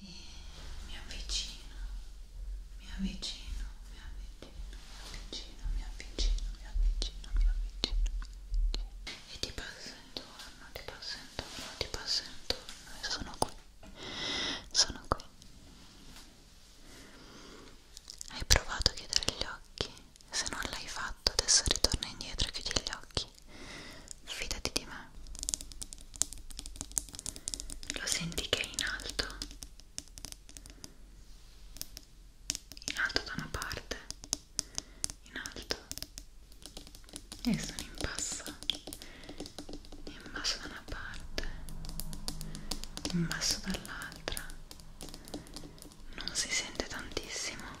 e eh, mi avvicino, mi avvicino, mi avvicino, mi avvicino, mi avvicino, mi avvicino, mi avvicino, mi avvicino e ti passo intorno, ti passo intorno, ti passo intorno e sono qui, sono qui. Hai provato a chiudere gli occhi? Se non l'hai fatto adesso ritorna indietro e chiudi gli occhi fidati di me. Lo senti che è in alto? In alto da una parte, in alto e sono in basso, in basso da una parte, in basso dall'altra. Non si sente tantissimo.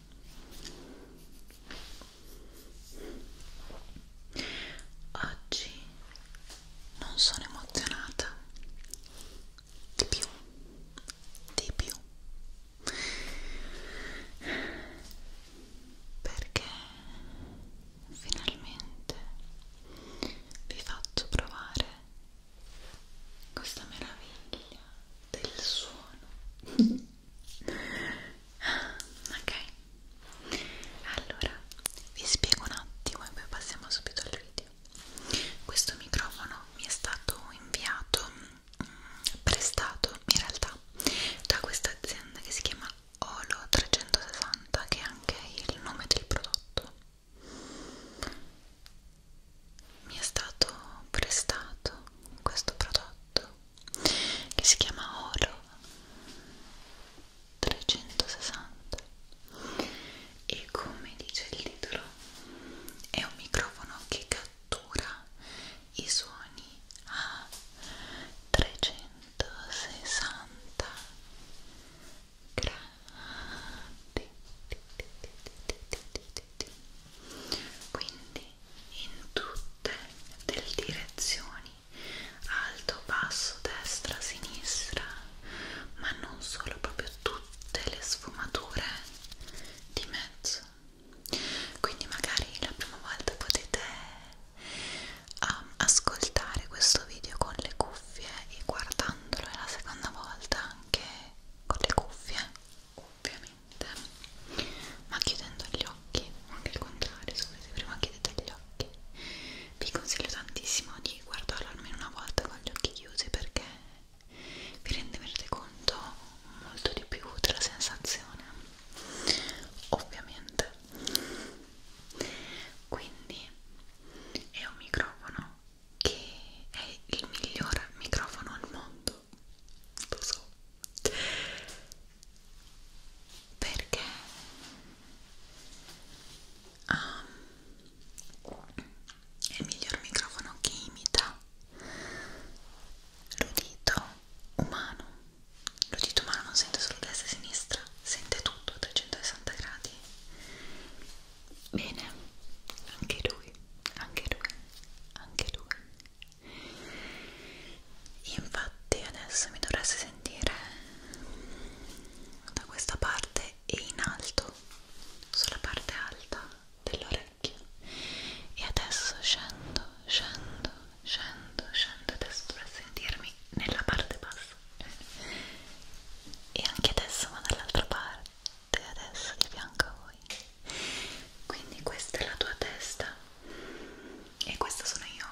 Oggi non sono emozionata di più, di più perché finalmente vi faccio provare questa meraviglia del suono ok allora vi spiego un attimo e poi passiamo subito al video questo microfono mi è stato inviato mh, mm, prestato in realtà da questa azienda che si chiama Olo 360 che è anche il nome del prodotto mi è stato prestato questo prodotto che si chiama Oro 360 e come dice il titolo è un microfono che cattura i suoni a 360 gradi quindi in tutte le direzioni, alto, basso, destra, sinistra, ma non solo, proprio tutte le sfumature di mezzo. Quindi magari la prima volta potete um, ascoltare questo video con le cuffie e guardandolo la seconda volta anche con le cuffie ovviamente ma chiudendo gli occhi o anche il contrario se volete prima chiudete gli occhi vi consiglio tantissimo di guardarlo almeno una volta con gli occhi chiusi perché vi renderete conto molto di più della sensazione ovviamente quindi è un microfono che è il miglior microfono al mondo so, lo so perché um, ehm, è il miglior microfono che imita l'udito umano l'udito umano non sente solo destra e sinistra sente tutto a 360 gradi bene anche lui anche lui anche lui infatti adesso mi dovreste sentire da questa parte e in alto sulla parte alta dell'orecchio e adesso scendo scendo scendo scendo adesso dovreste sentirmi nella parte bassa e anche adesso ma dall'altra parte adesso di fianco a voi quindi questa è la tua testa e questa sono io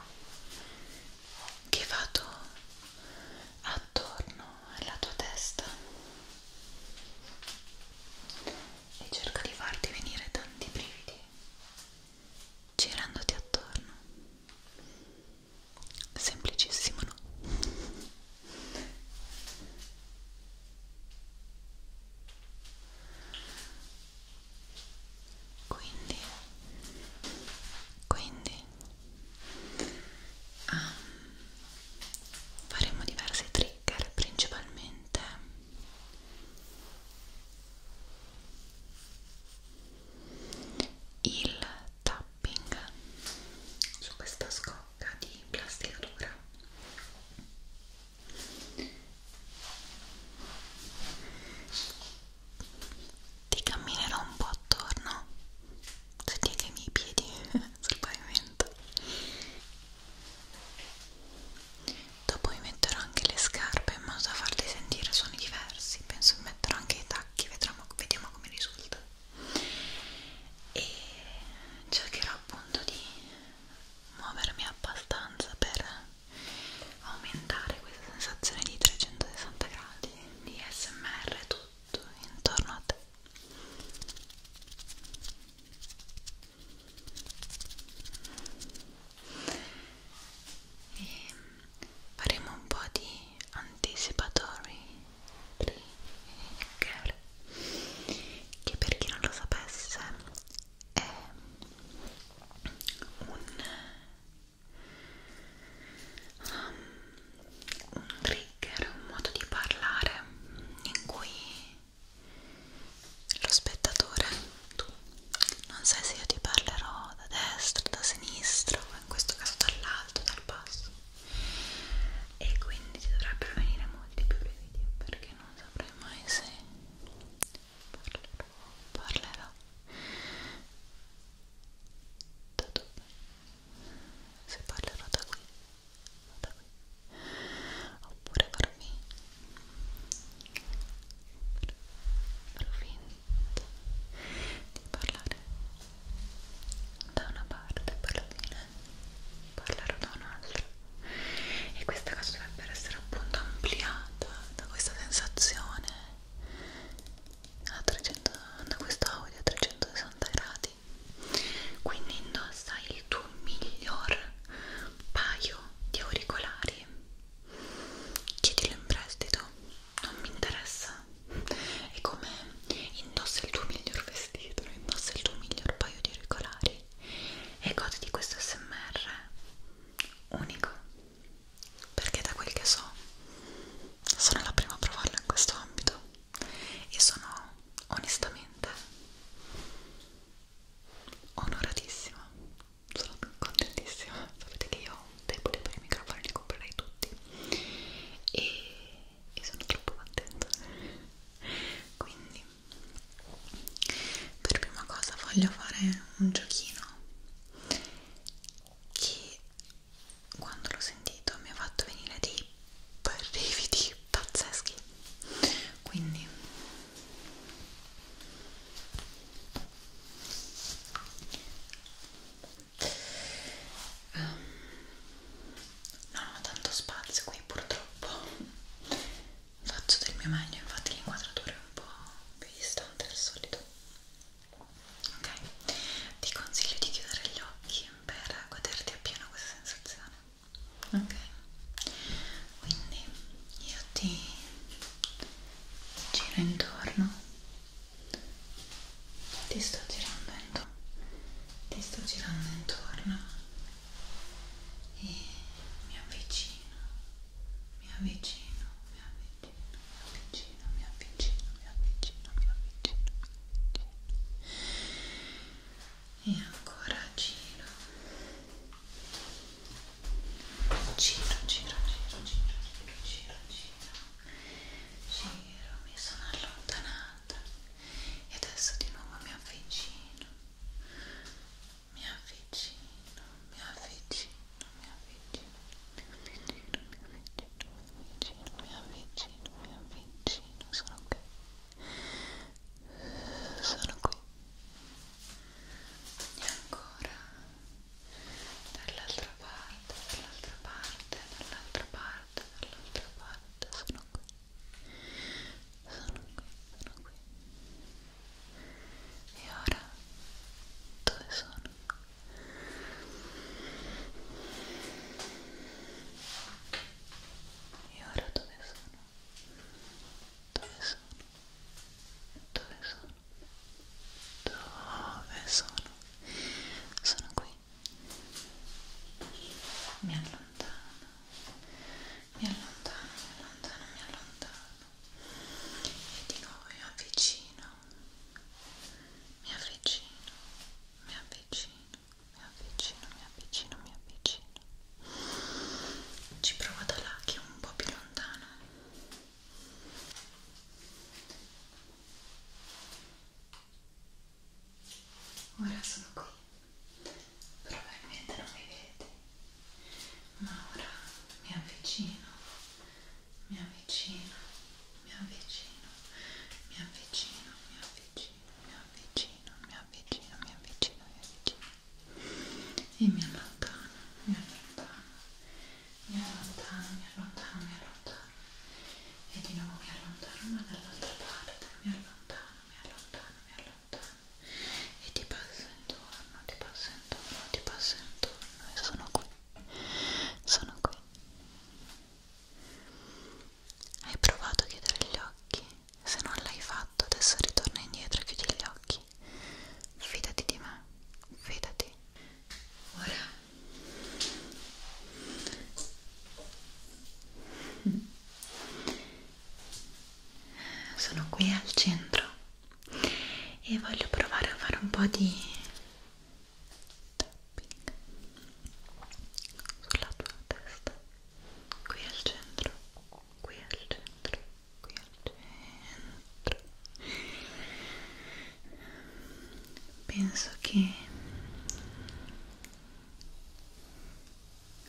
che vado attorno alla tua testa e cerco di farti venire tanti brividi girandoti attorno semplicissimo no? quindi quindi um, faremo diversi trigger principalmente il tapping su questa scocca di plastica dura ti camminerò un po' attorno senti anche i miei piedi sul pavimento dopo mi metterò anche le scarpe in modo da farti sentire suoni diversi penso mi metterò anche i tacchi vedremo, vediamo come risulta e cercherò appunto di muovermi abbastanza per aumentare questa sensazione di 360 gradi di smr tutto intorno a te e faremo un po' di anticipatory trigger che per chi non lo sapesse è un, um, un trigger, un modo di parlare in cui lo spettatore, tu, non sai se io ti parlerò da destra, da sinistra o in questo caso dall'alto, dal basso e quindi ti dovrebbero venire molti più brividi perché non saprai mai se parlerò da dove? se parlerò da qui da qui oppure farmi farò finta di parlare da una parte per la fine parlerò da un'altra e questa cosa dovrebbe essere appunto ampliata da questa sensazione a 300, da questo audio a 360 gradi quindi indossa il tuo miglior paio di auricolari chiedilo in prestito non mi interessa è come indossa il tuo miglior vestito indossa il tuo miglior paio di auricolari e godi di questo smr unico perché da quel che so sono la prima a provarlo in questo ambito e sono onestamente onoratissima sono contentissima sapete che io debole per i microfoni li comprerei tutti e, e sono troppo contenta quindi per prima cosa voglio fare un giochino che quando l'ho sentito mi ha fatto venire dei brividi pazzeschi quindi um, non ho tanto spazio qui purtroppo faccio del mio meglio infatti l'inquadratura è un po' più distante del solito ok ti consiglio di chiudere gli occhi per goderti appieno questa sensazione ok quindi io ti giro intorno ti sto girando intorno ti sto girando intorno e mi avvicino mi avvicino, mi avvicino, mi avvicino, mi avvicino, mi avvicino, mi avvicino, mi avvicino. E ancora giro. Giro, giro, giro, giro, giro, giro, giro. Giro, mi sono allontanata. E adesso di nuovo mi avvicino mi avvicino, mi avvicino, mi avvicino, mi avvicino, mi avvicino, mi avvicino, mi avvicino, sono qui, sono qui, e ancora dall'altra parte, dall'altra parte, dall'altra parte, dall'altra parte, sono qui, sono qui, sono qui. y ahora ¿dónde son? y ahora ¿dónde son? ¿dónde son? ¿dónde son? ¿dónde son? ¿son aquí? sono qui mi allontano mi allontano mi allontano mi allontano e di nuovo mi avvicino mi avvicino mi avvicino mi avvicino mi avvicino mi avvicino ci provo da là che è un po' più lontano ora sono qui probabilmente non mi vedete ma ora mi avvicino, mi avvicino, mi avvicino, mi avvicino, mi avvicino, mi avvicino, mi avvicino, mi avvicino, mi avvicino e mi allontano, mi allontano, mi allontano, mi allontano, mi allontano e di nuovo mi allontano ma dall'altra parte, mi allontano, mi allontano, mi allontano e ti passa intorno, ti passa intorno, ti passa intorno e sono qui, sono qui. Hai provato a chiudere gli occhi? Se non l'hai fatto, adesso ritorna indietro e chiudi gli occhi. Fidati di me, fidati. Ora. Sono qui al centro e voglio provare a fare un po' di tapping sulla tua testa qui al centro qui al centro qui al centro penso che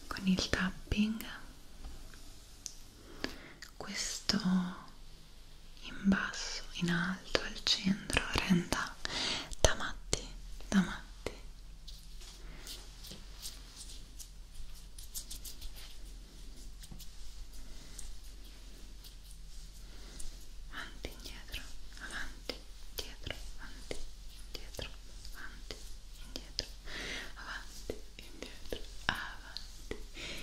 con il tapping questo in basso, in alto, al centro renda da matti, da matti avanti, indietro, avanti, dietro, avanti, dietro, avanti, indietro avanti, indietro, avanti,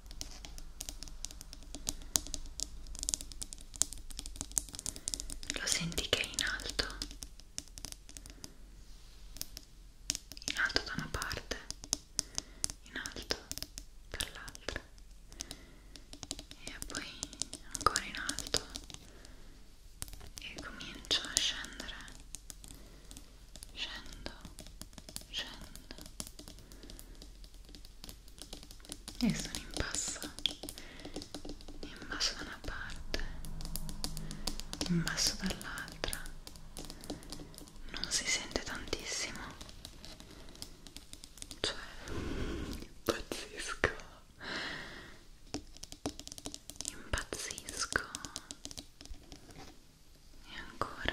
Lo senti che è in alto? In alto da una parte, in alto dall'altra e poi ancora in alto e comincio a scendere. Scendo, scendo e sono in basso in basso da una parte in basso dall'altra non si sente tantissimo cioè impazzisco impazzisco e ancora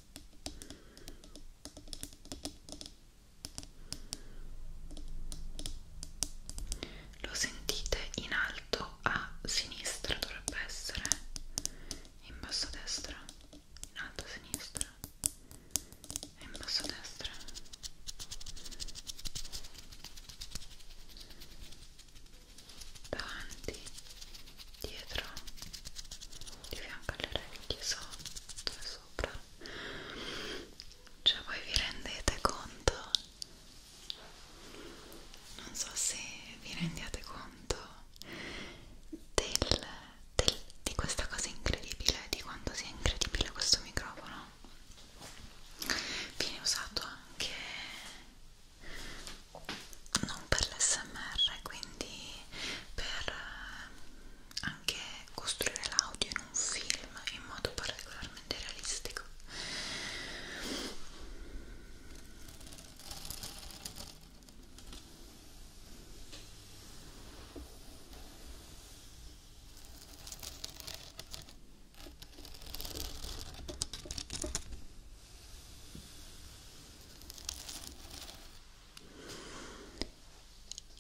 lo sentite in alto a sinistra dovrebbe essere in basso a destra in alto a sinistra e in basso a destra davanti dietro di fianco alle orecchie sotto e sopra cioè voi vi rendete conto non so se vi rendiate conto del, del, di questa cosa incredibile di quanto sia incredibile questo microfono viene usato anche non per l'SMR quindi per eh, anche costruire l'audio in un film in modo particolarmente realistico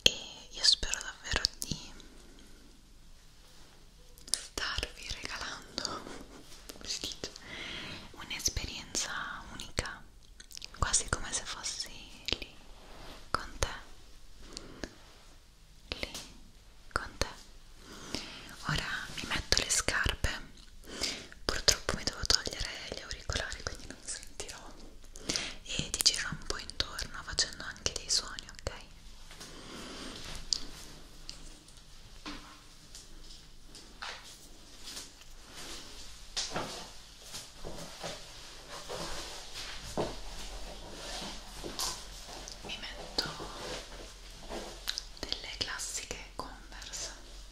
e io spero davvero di starvi regalando un'esperienza unica quasi come se fossi lì con te lì con te ora mi metto le scarpe purtroppo mi devo togliere gli auricolari quindi non sentirò e ti gira un po' intorno facendo anche dei suoni, ok? Mi metto delle classiche Converse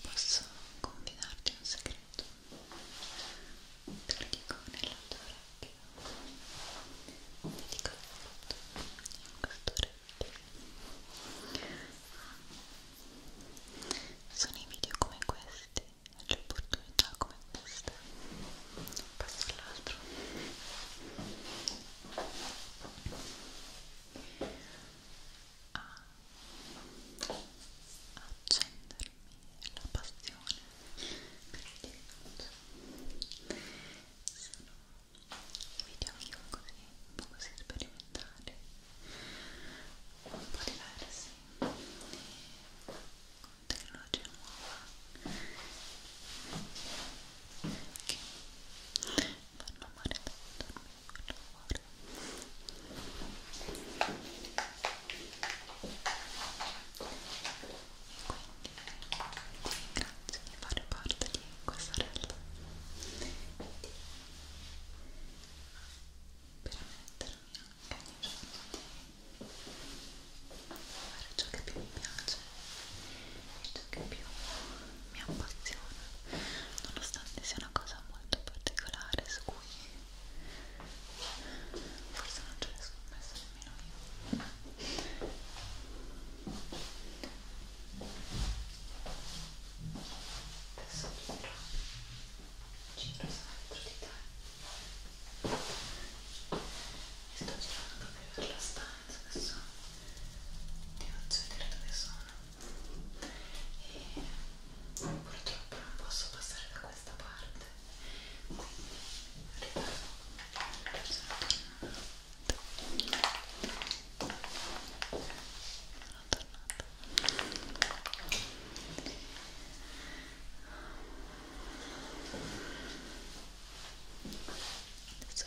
Posso confidarti un segreto? Te lo dico nella tua orecchia. Te lo dico tutto in questa orecchia. Sono i video come questi e le opportunità come queste. Passo all'altro a accendermi la passione per il diritto sono video anche un, così, un po' così sperimentali un po' diversi con tecnologia nuova che fanno male tanto quindi ti ringrazio di fare parte di questa realtà permettermi anche ogni giorno di fare ciò che più mi piace e ciò che più mi appassiona nonostante sia una cosa molto particolare su cui forse non ce ne sono messa nemmeno io adesso giro giro sempre di te e sto girando per la stanza adesso ti faccio vedere dove sono e purtroppo non posso passare da questa parte quindi arrivo Adesso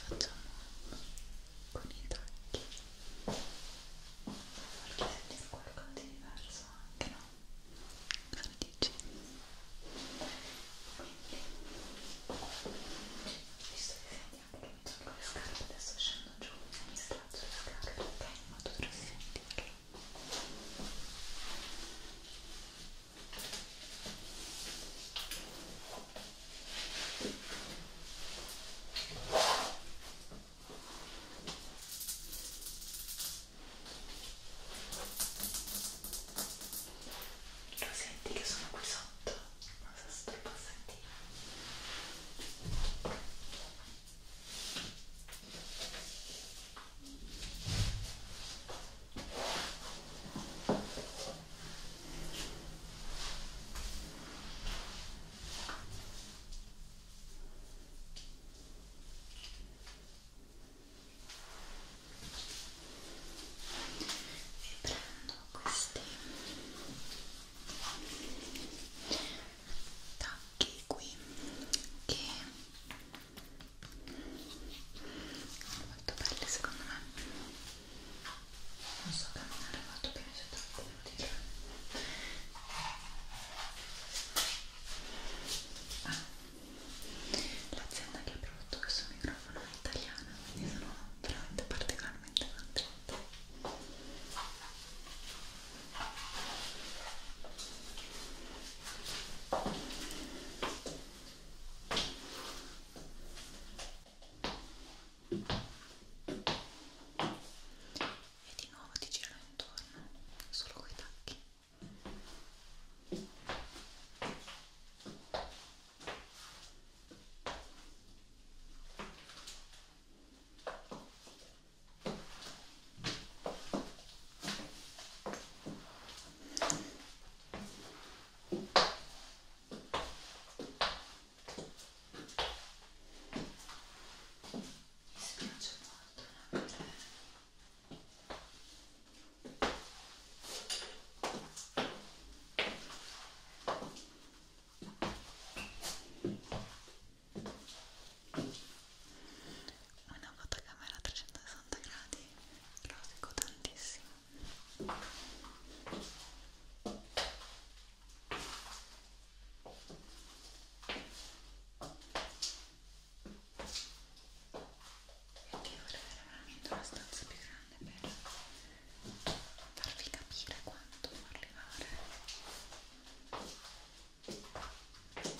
facciamo con i tacchi perché sentire qualcosa di diverso anche no? cosa dici? quindi visto che senti anche che mi tolgo le scarpe adesso scendo giù e mi straccio le scarpe perché in modo da sentirlo Ecco lo senti che sono qui sotto? Non so se tu lo puoi sentire e prendo questi tacchi qui che sono molto belli secondo me non so camminare molto bene se tanto devo dire ah, l'azienda che ha prodotto questo microfono è italiana quindi sono veramente particolarmente contenta e di nuovo ti giro intorno solo coi tacchi ok mi spiace molto non una fotocamera a 360 gradi rosico tantissimo perché vorrei veramente una stanza più grande per farvi capire quanto arrivare. Sono qui.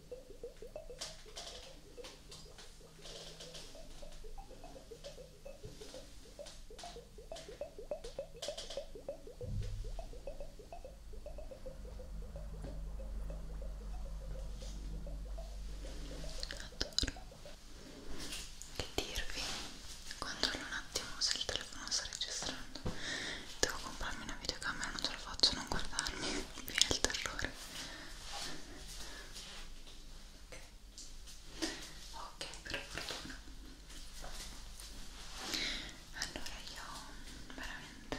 Che dirvi? Controllo un attimo se il telefono sta registrando. Devo comprarmi una videocamera, non ce la faccio non guardarmi mi viene il terrore ok, okay per fortuna allora io veramente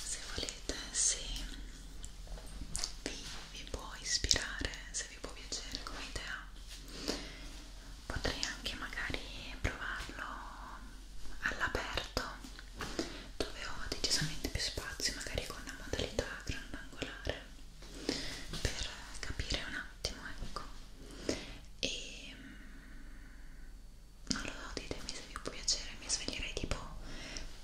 se volete se vi, vi può ispirare se se vi può piacere come idea potrei anche magari provarlo all'aperto dove ho decisamente più spazio magari con una modalità grandangolare per capire un attimo ecco e mm, non lo so ditemi se vi può piacere mi sveglierei tipo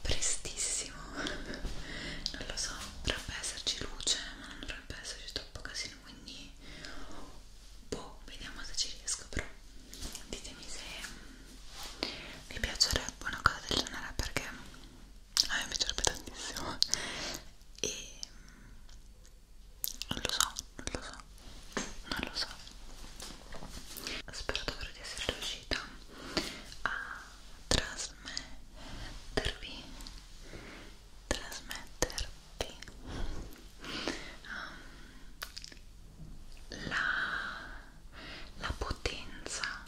prestissimo non lo so dovrebbe esserci luce ma non dovrebbe esserci troppo casino quindi boh vediamo se ci riesco però ditemi se mm, vi piacerebbe una cosa del genere perché a me piacerebbe tantissimo e mm, non lo so non lo so non lo so spero davvero di essere riuscita a trasmettervi trasmetterti um, la, la potenza,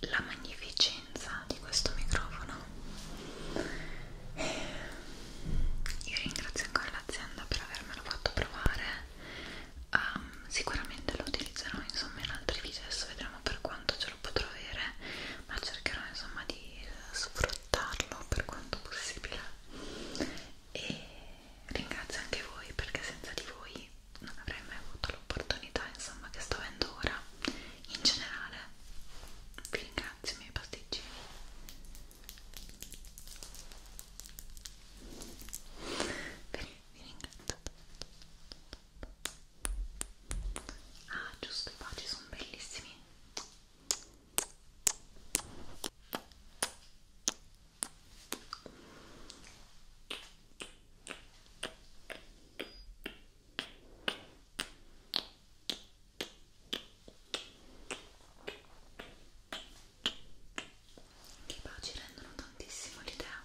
la magnificenza di questo microfono. Eh, io ringrazio ancora l'azienda per avermelo fatto provare. Um, sicuramente lo utilizzerò insomma in altri video adesso vedremo per quanto ce lo potrò avere ma cercherò insomma di sfruttarlo per quanto possibile e ringrazio anche voi perché senza di voi non avrei mai avuto l'opportunità insomma che sto avendo ora in generale vi ringrazio i miei pasticcini vi ringrazio ah giusto i baci sono bellissimi che poi ci rendono tantissimo l'idea.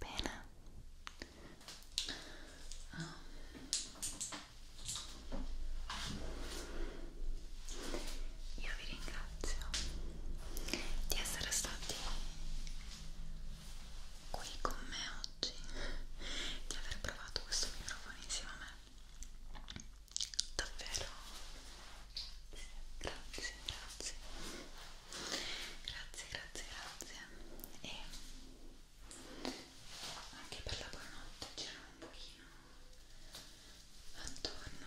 Bene. Oh. Io vi ringrazio di essere stati qui con me oggi, di aver provato questo microfono insieme a me davvero grazie grazie grazie grazie grazie e anche per la buonanotte c'era un pochino attorno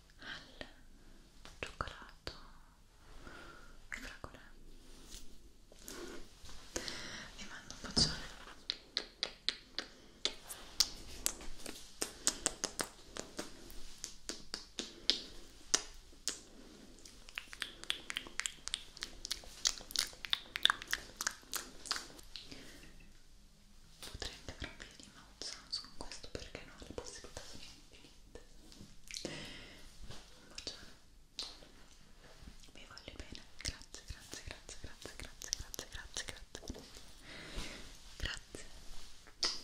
al cioccolato e fragole vi mando un bacione potrei anche far un video di mouth sounds con questo perché no, le possibilità sono infinite un bacione vi voglio bene grazie, grazie, grazie, grazie, grazie, grazie, grazie, grazie grazie